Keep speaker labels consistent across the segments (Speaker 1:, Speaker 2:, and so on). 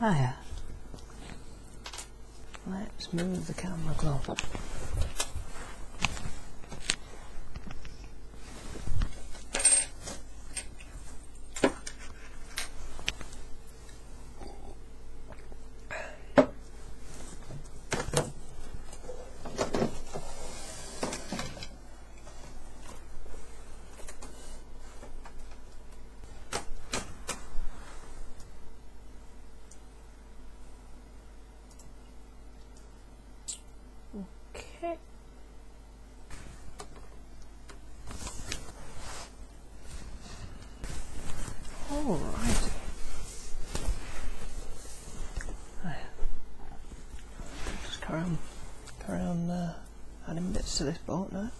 Speaker 1: Hiya. Let's move the camera closer. Okay. All right. Just carry on, carry on. Uh, adding bits to this bolt now.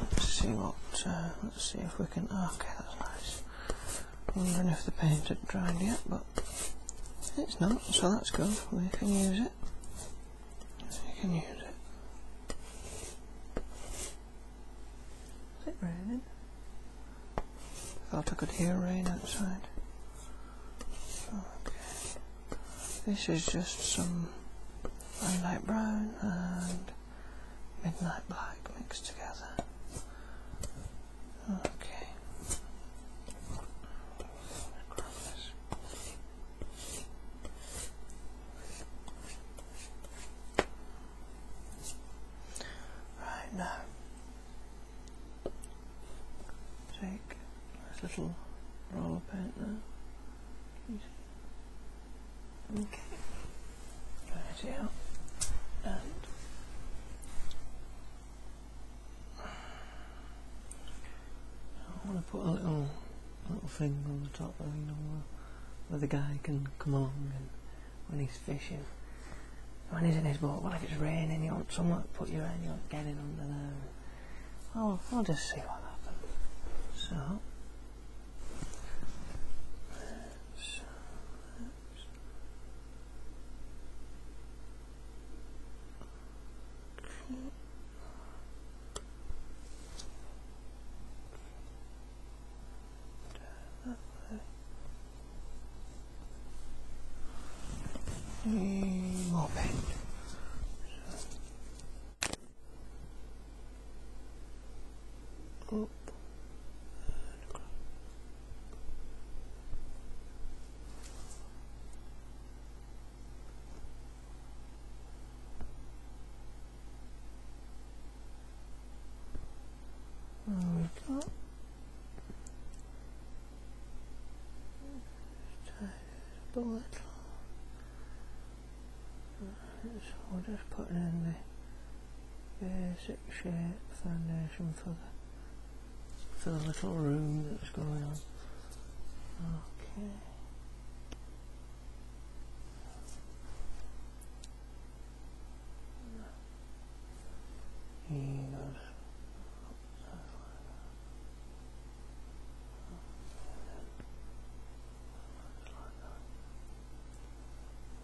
Speaker 1: Let's see what, uh, let's see if we can, oh, okay that's nice. Don't know if the paint had dried yet, but it's not, so that's good. We can use it. We can use it. Is it raining? Thought I could hear rain outside. This is just some light brown and midnight black mixed together. Okay. Right now, take this little roller paint there. Okay, right out and I want to put a little little thing on the top, you know, where the guy can come along and when he's fishing. When he's in his boat, well, if it's raining, you want someone to put your hand, you want to get in under there. I'll, oh, I'll just see what happens. So, let's, let's. More paint. Up. There we go. So we are just putting in the basic shape foundation for the little room that's going on. Okay. He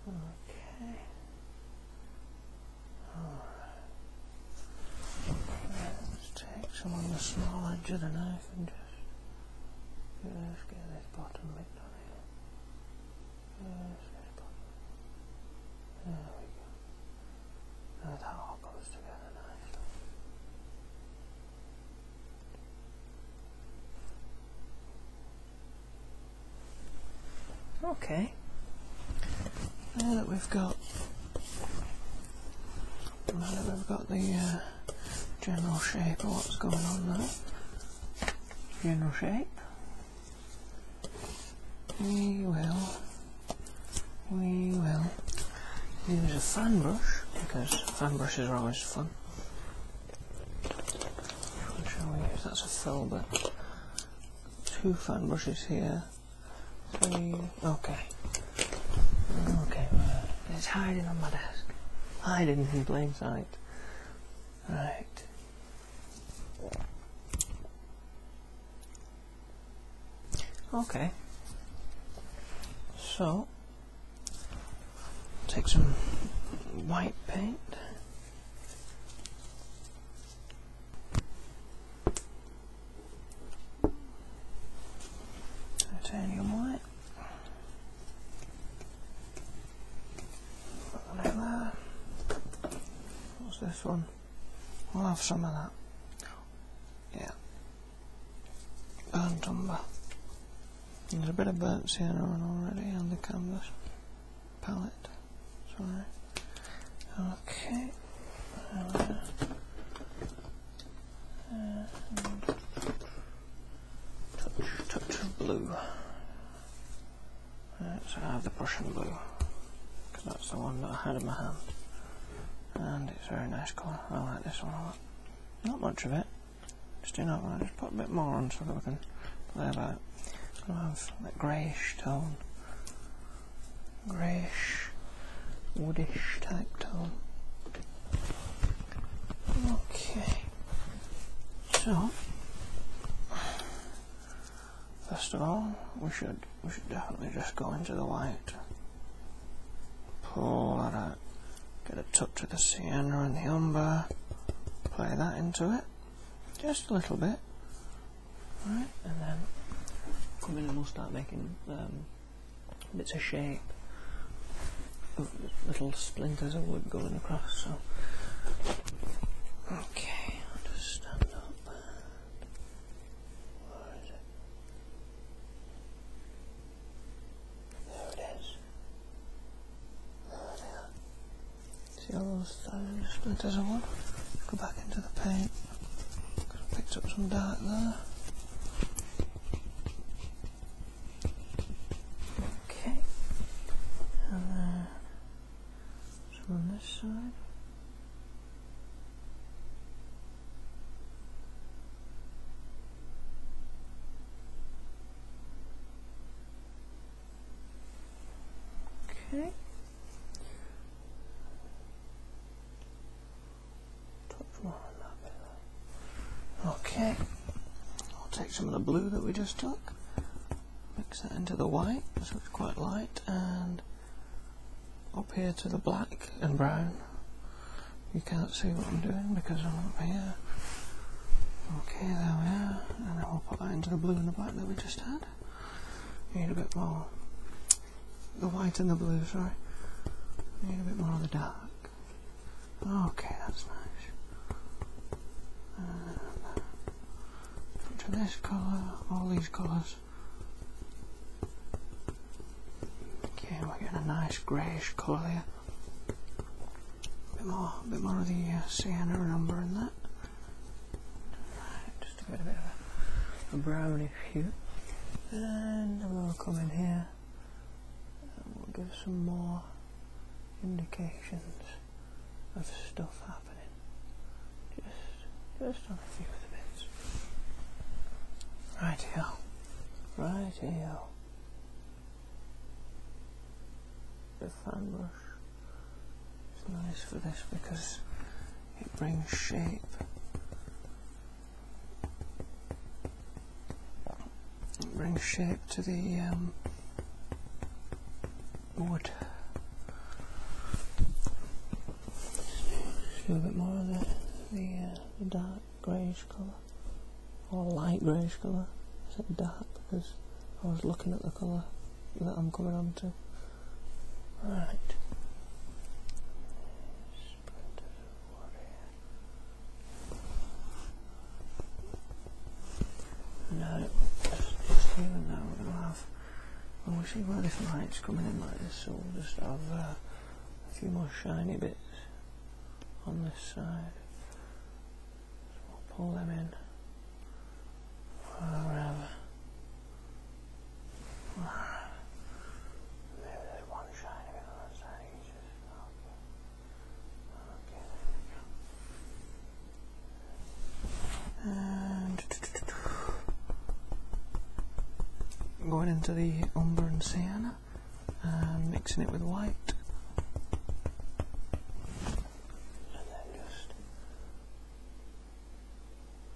Speaker 1: Okay. Alright. Let's take some on the small edge of the knife and just, just get this bottom bit done here. There we go. That all goes together nicely. Okay. Now that we've got now have got the uh, general shape of what's going on there, general shape, we will we will use a fan brush because fan brushes are always fun. Which shall we use? That's a fill bit. Two fan brushes here. Okay. Okay. It's hiding on my desk. Hiding in plain sight. Right. Okay. So, take some white paint. Titanium white. What's this one? I'll have some of that. Yeah burnt There's a bit of burnt sienna already on the canvas palette. Sorry. Okay. touch, touch of blue. Right, so have the Prussian blue because that's the one that I had in my hand and it's a very nice colour. I like this one a lot. Not much of it, just enough. I just put a bit more on so that we can play about it. that greyish tone, greyish, woodish type tone. Okay, so first of all, we should we should definitely just go into the light. Pull that out. Get it tucked to the sienna and the umber. Play that into it. Just a little bit. Right, and then come in and we'll start making um, bits of shape. Little splinters of wood going across, so... Okay, I'll just stand up. Where is it? There it is. There See all those thousand splinters of Go back into the paint. picked up some dark there. Okay. And uh, some on this side. Okay. Okay, I'll take some of the blue that we just took, mix that into the white, so it's quite light, and up here to the black and brown. You can't see what I'm doing because I'm up here. Okay, there we are. And then we will put that into the blue and the black that we just had. need a bit more. The white and the blue, sorry. need a bit more of the dark. Okay, that's nice. And this colour, all these colours. Okay, we're getting a nice greyish colour here. A bit more, a bit more of the uh, sienna and in that. just to get a bit of a, a brownish hue. And we'll come in here and we'll give some more indications of stuff happening. Just, just on a few of the bits. Right here. Right here. The fan brush is nice for this because it brings shape. It brings shape to the um, wood. a bit more of the, the uh, dark greyish colour, or light greyish colour. Is it dark because I was looking at the colour that I'm coming on to. Right. No, just even now we'll have. Well, we see where this light's coming in like this, so we'll just have. Uh, a few more shiny bits on this side. pull them in wherever. Maybe there's one shiny bit on that side. okay, there we go. And going into the umber and sienna and um, mixing it with white and then just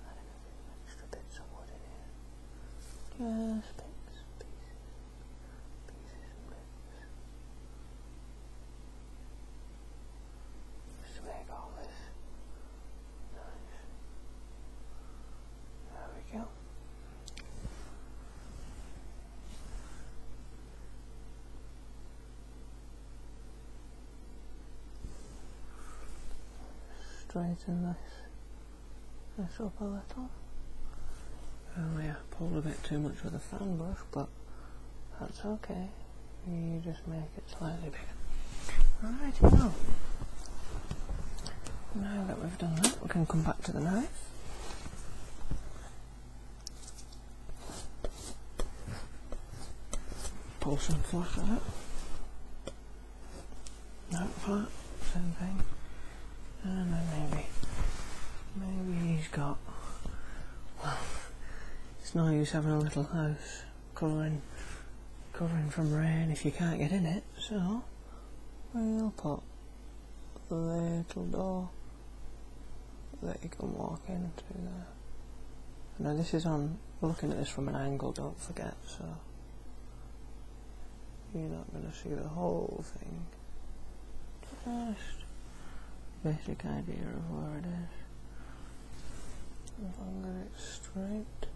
Speaker 1: adding a few extra bits of wood in here just bits, pieces, pieces and bits just make all this there we go. Straighten this, this up a little. Oh yeah, pulled a bit too much with the fan brush, but that's okay. You just make it slightly bigger. Alright, now we've done that, we can come back to the knife. Pull some fluff out. That part, same thing. And then maybe, maybe he's got, well, it's no use having a little house covering, covering from rain if you can't get in it, so We'll pop the little door that you can walk into there. Now this is on looking at this from an angle, don't forget, so you're not going to see the whole thing. Just basic idea of where it's straight.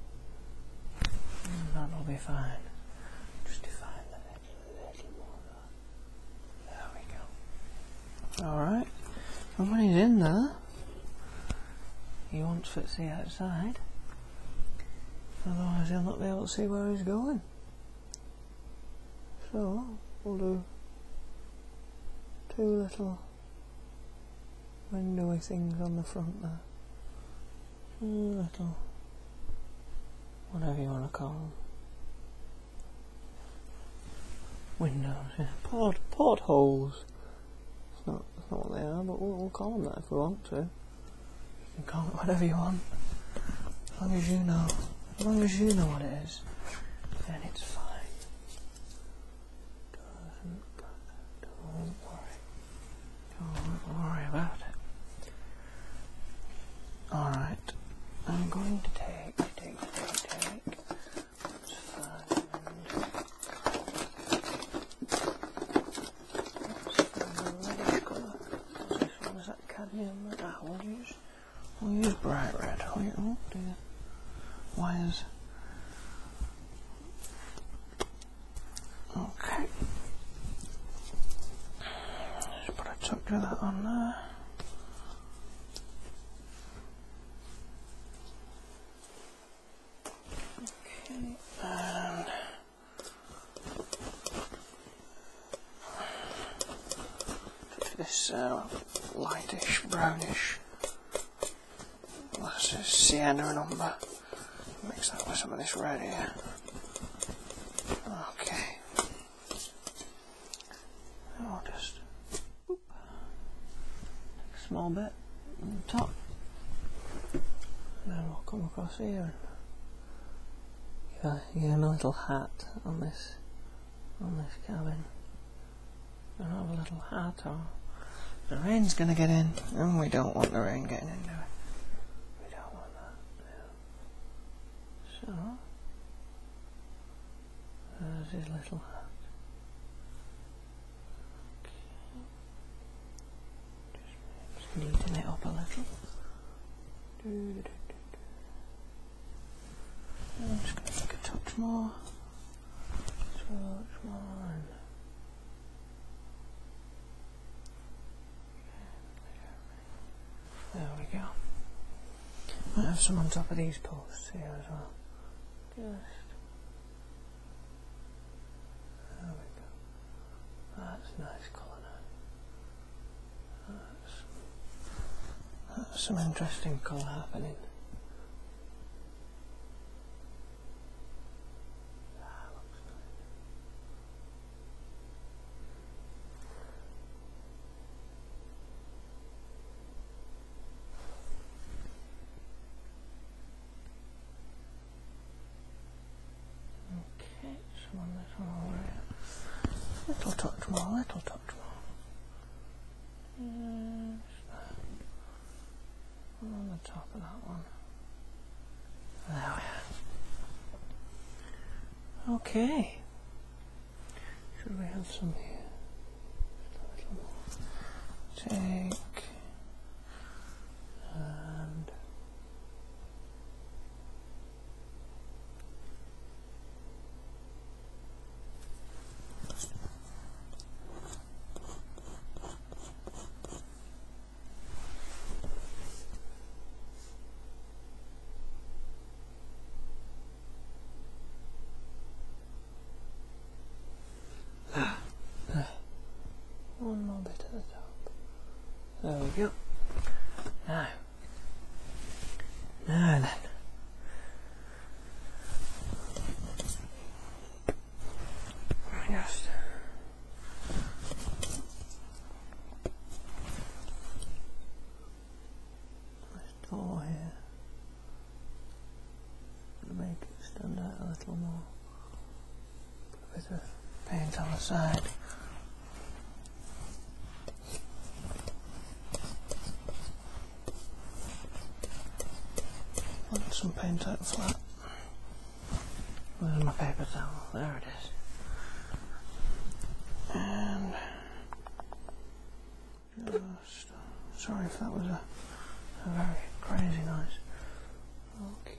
Speaker 1: Mm, that'll be fine. Just define the little, little more. There we go. Alright. And when he's in there, he wants Fitzy outside. Otherwise he'll not be able to see where he's going. So, we'll do two little windowy things on the front there little, mm, whatever you want to call them, windows, yeah, port, portholes. It's not, it's not what they are, but we'll, call them that if we want to. You can call it whatever you want, as long as you know, as long as you know what it is, then it's fine. Doesn't, don't worry. Oh, don't worry about it. Alright, I'm going to take, take, take, take. Let's find, let's find the reddish colour. that cadmium red. will use, we'll use bright red. Oh, oh dear. Why is Okay. Just put a chunk of that on there. Okay, and this uh, lightish brownish. That's a sienna number. Mix up with some of this red here. Okay. I'll just whoop, small bit on the top. And then we'll come across here and give, him a little hat on this on this cabin. And have a little hat on. The rain's gonna get in, and we don't want the rain getting in there. We don't want that. So, there's his little Just, just it up a little. Do, do, do, I'm just gonna take a touch more. Touch more. There we go. Might have some on top of these posts here as well. Just. There we go. That's nice colour That's, that's some interesting colour happening. That looks Okay, one little more. Little touch more, little touch more. Yes on the top of that one. There we are. Okay. Should we have some here? Take and one more bit at the top. There we go. Now, now then. Just oh Nice door here. Make it stand out a little more. A bit of paint on the side. Put some paint out flat. Where's my paper towel? There it is. And just, uh, sorry if that was a, a very crazy noise. Okay.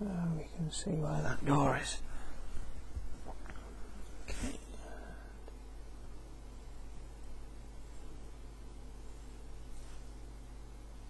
Speaker 1: There we go. we can see where that door is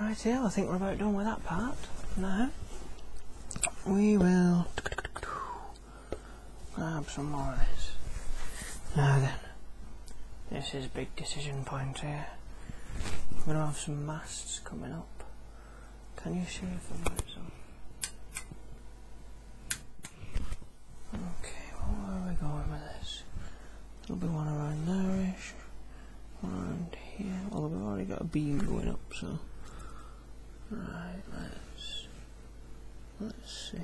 Speaker 1: Right here, I think we're about done with that part. Now, we will grab some more of this. Now then, this is a big decision point here. We're going to have some masts coming up. Can you see if the lights Okay, where are we going with this? It'll be one around there-ish, one around here. Well, we've already got a beam going up, so... Right, let's... Let's see.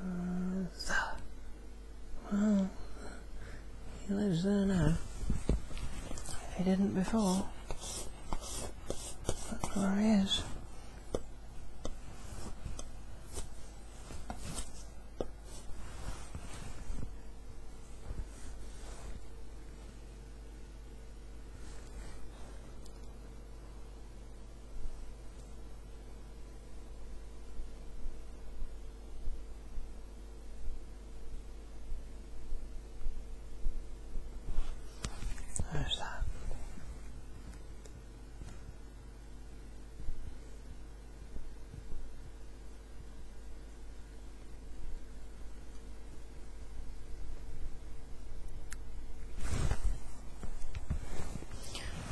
Speaker 1: Uh, Well, he lives there now. He didn't before. That's where he is. There's that.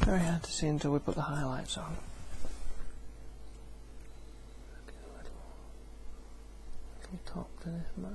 Speaker 1: Very hard to see until we put the highlights on. top to this mask.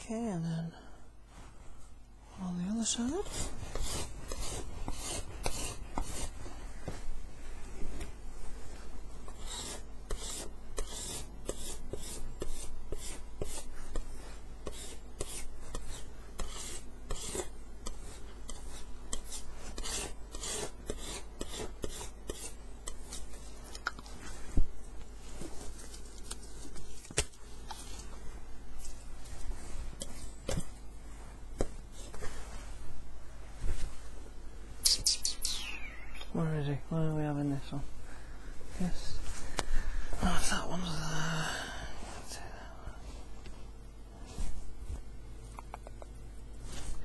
Speaker 1: Okay, and then on the other side. Where is he? What are we having this one? Yes. Oh, if that one's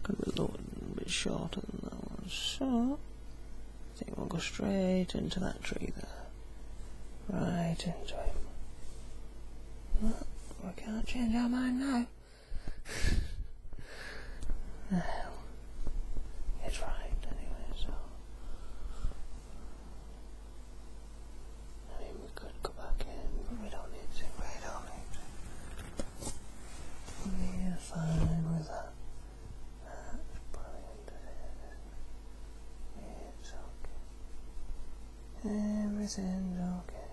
Speaker 1: Could be a little bit shorter than that one. So. I think we'll go straight into that tree there. Right into it. Well, oh, we can't change our mind now. no. It's right anyway, so... I mean, we could go back in, but we don't need to. We don't need We're fine with that. That's brilliant. It's okay. Everything's okay.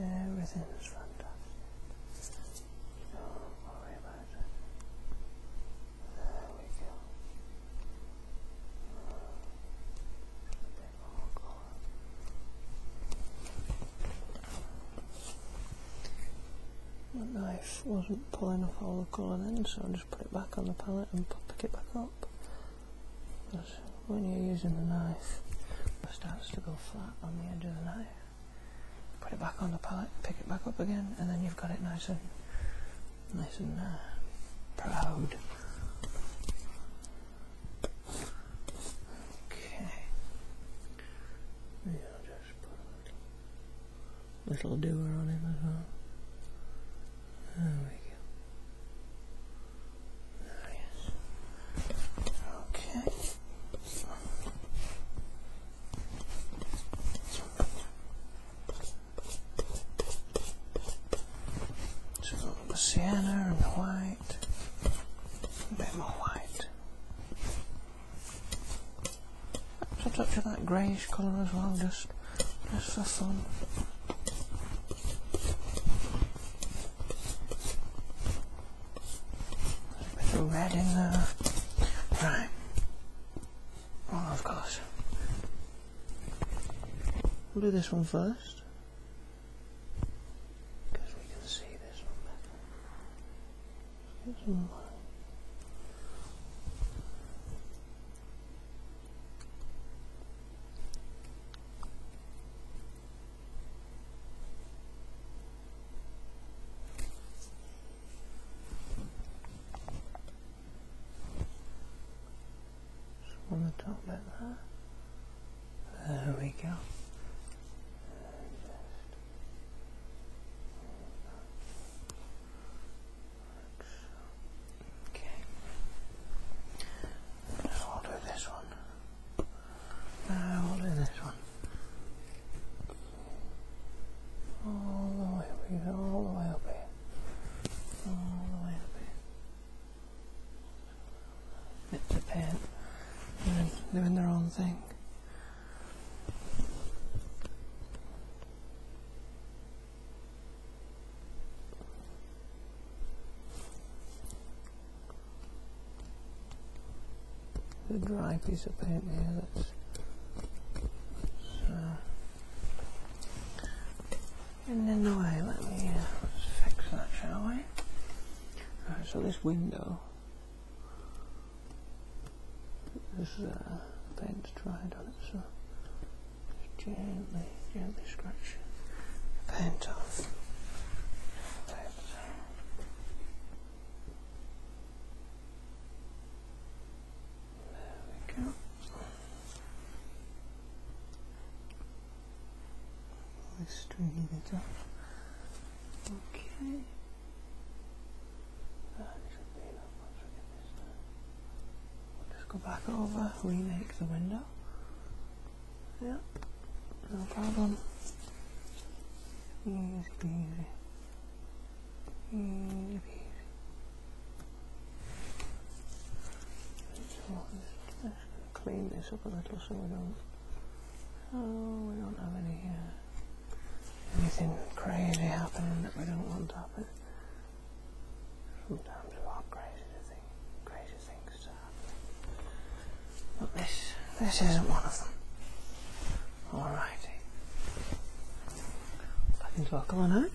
Speaker 1: Everything's fantastic. Don't worry about it. There we go. A bit more colour. That knife wasn't pulling off all the colour then, so I just put it back on the palette and pick it back up. Because when you're using the knife, it starts to go flat on the edge of the knife. Put it back on the palette, pick it back up again, and then you've got it nice and nice and uh, proud. Okay. Yeah, just little doer on him as well. There we go. There Okay. So sienna and white, a bit more white. Just a touch of that greyish colour as well, just, just for fun. There's a bit red in there. Right. Well, of course. We'll do this one first. Because we can see this one better on the top like that. There we go. Okay. No, I'll do this one. Uh, I'll do this one. All the way up here, all the way up here. All the doing their own thing a dry piece of paint here that's so. Uh, and then the way let me uh, fix that shall we right, so this window this is uh, a paint's dried on it, so just gently, gently scratch the paint off. There we go. Let's straighten it off. Okay just go back over, remake the window. Yeah, no problem. Easy peasy. Easy peasy. clean this up a little Oh, we don't have any here anything crazy happening that we don't want to happen. Sometimes we want crazy thing, crazy things to happen. But this this isn't one of them. Alrighty. Back into our corner.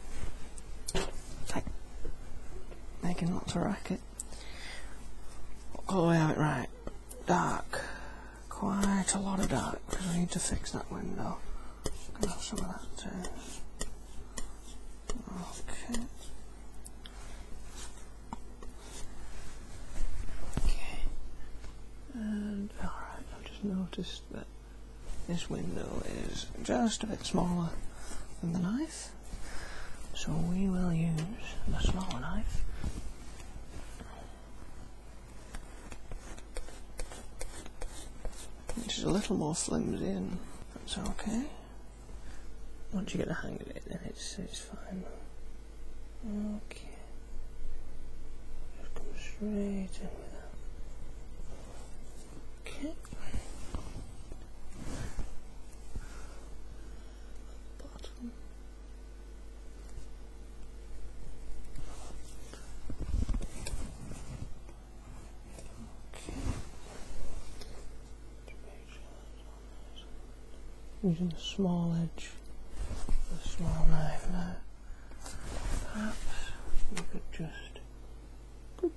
Speaker 1: Take making lots of racket. All the way it? right. Dark quite a lot of dark because I need to fix that window. I'm some of that too. Okay. Okay. And alright, i just noticed that this window is just a bit smaller than the knife. So we will use the smaller knife. Which is a little more flimsy and that's okay. Once you get the hang of it then it's it's fine. Okay. come straight in Okay. Bottom using a small edge, a small knife Perhaps we could just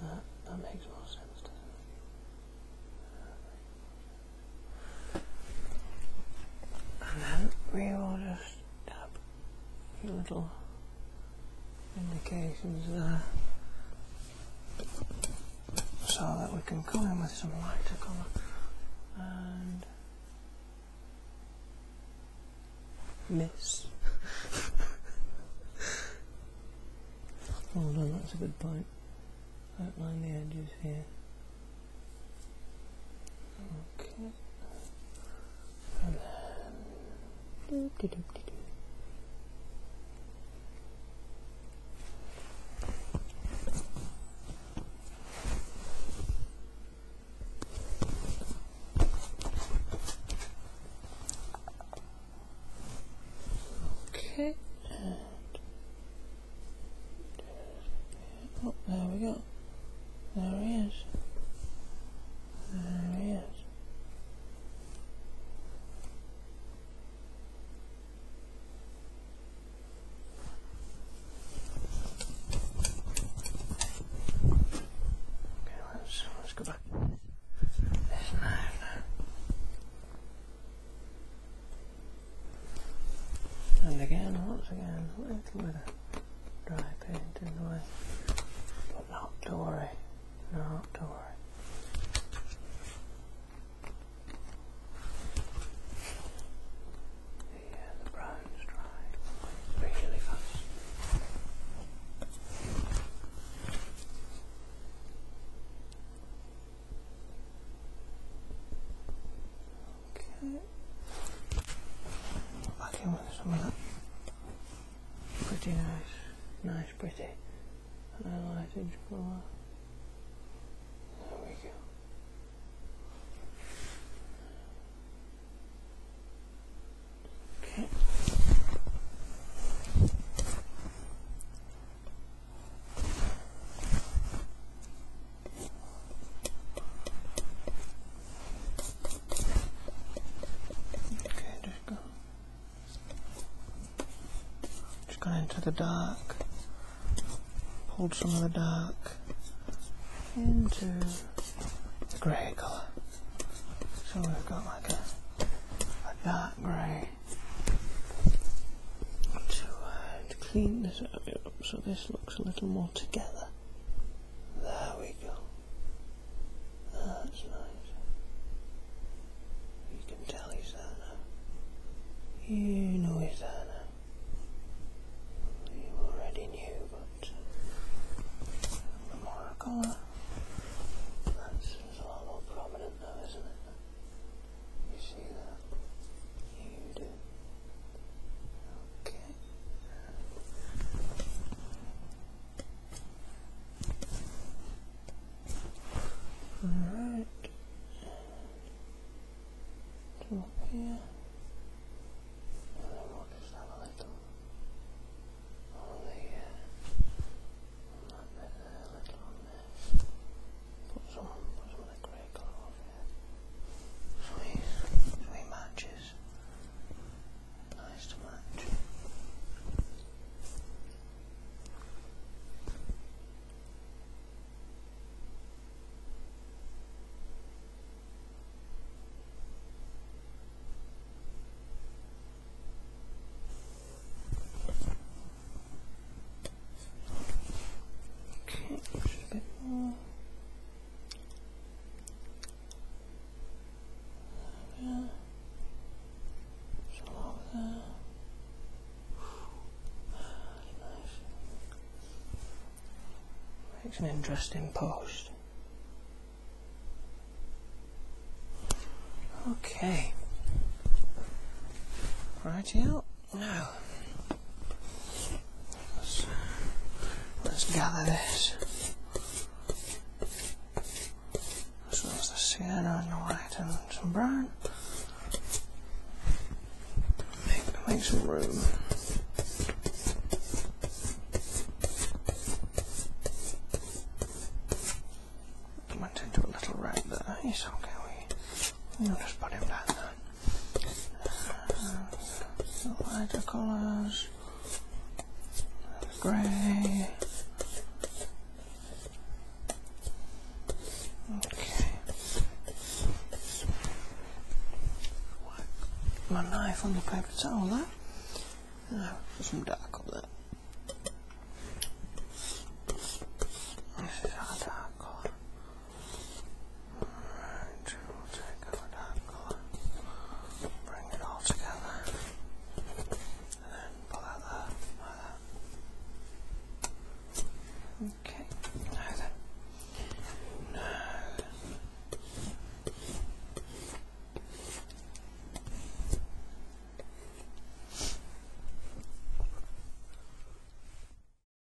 Speaker 1: That, that makes more sense, and then we will just tap a few little indications there so that we can come in with some lighter colour and miss. oh, no, that's a good point outline the edges here. Okay. Okay, Oh, there we go. There he is. There he is. Okay, let's, let's go back. There's knife and again, once again, a little bit of dry paint in the way. But not to worry, not to worry. Yeah, the brown's dry really fast. Okay. I can with some of that. Pretty nice. Nice, pretty. And colour. There we go. Okay. Okay, just go. Just gone into the dark. Pulled some of the dark into the grey colour. So we've got like a, dark grey to clean this up so this looks a little more together. There we go. That's nice. You can tell he's You know he's You already knew, but uh, the more that's a lot more prominent now, isn't it? You see that? You do. Okay. Alright. Come here. And then we'll just have a uh, uh, little on there, Put some, put some of the grey colour Three, three matches. Nice to match. Okay, a bit more. There we are. Nice. Makes an interesting post. Okay. Right, yeah. No. let's, gather this. As well the sienna and the white and some brown. Make, make some room. Went into a little red there. He's okay. We'll just put him down there lighter colors, gray. Okay. Wipe my knife on the paper towel there. some dark up there. This is our dark colour. Alright, we take our dark color, bring it all together, and then pull out there, like that. Okay, now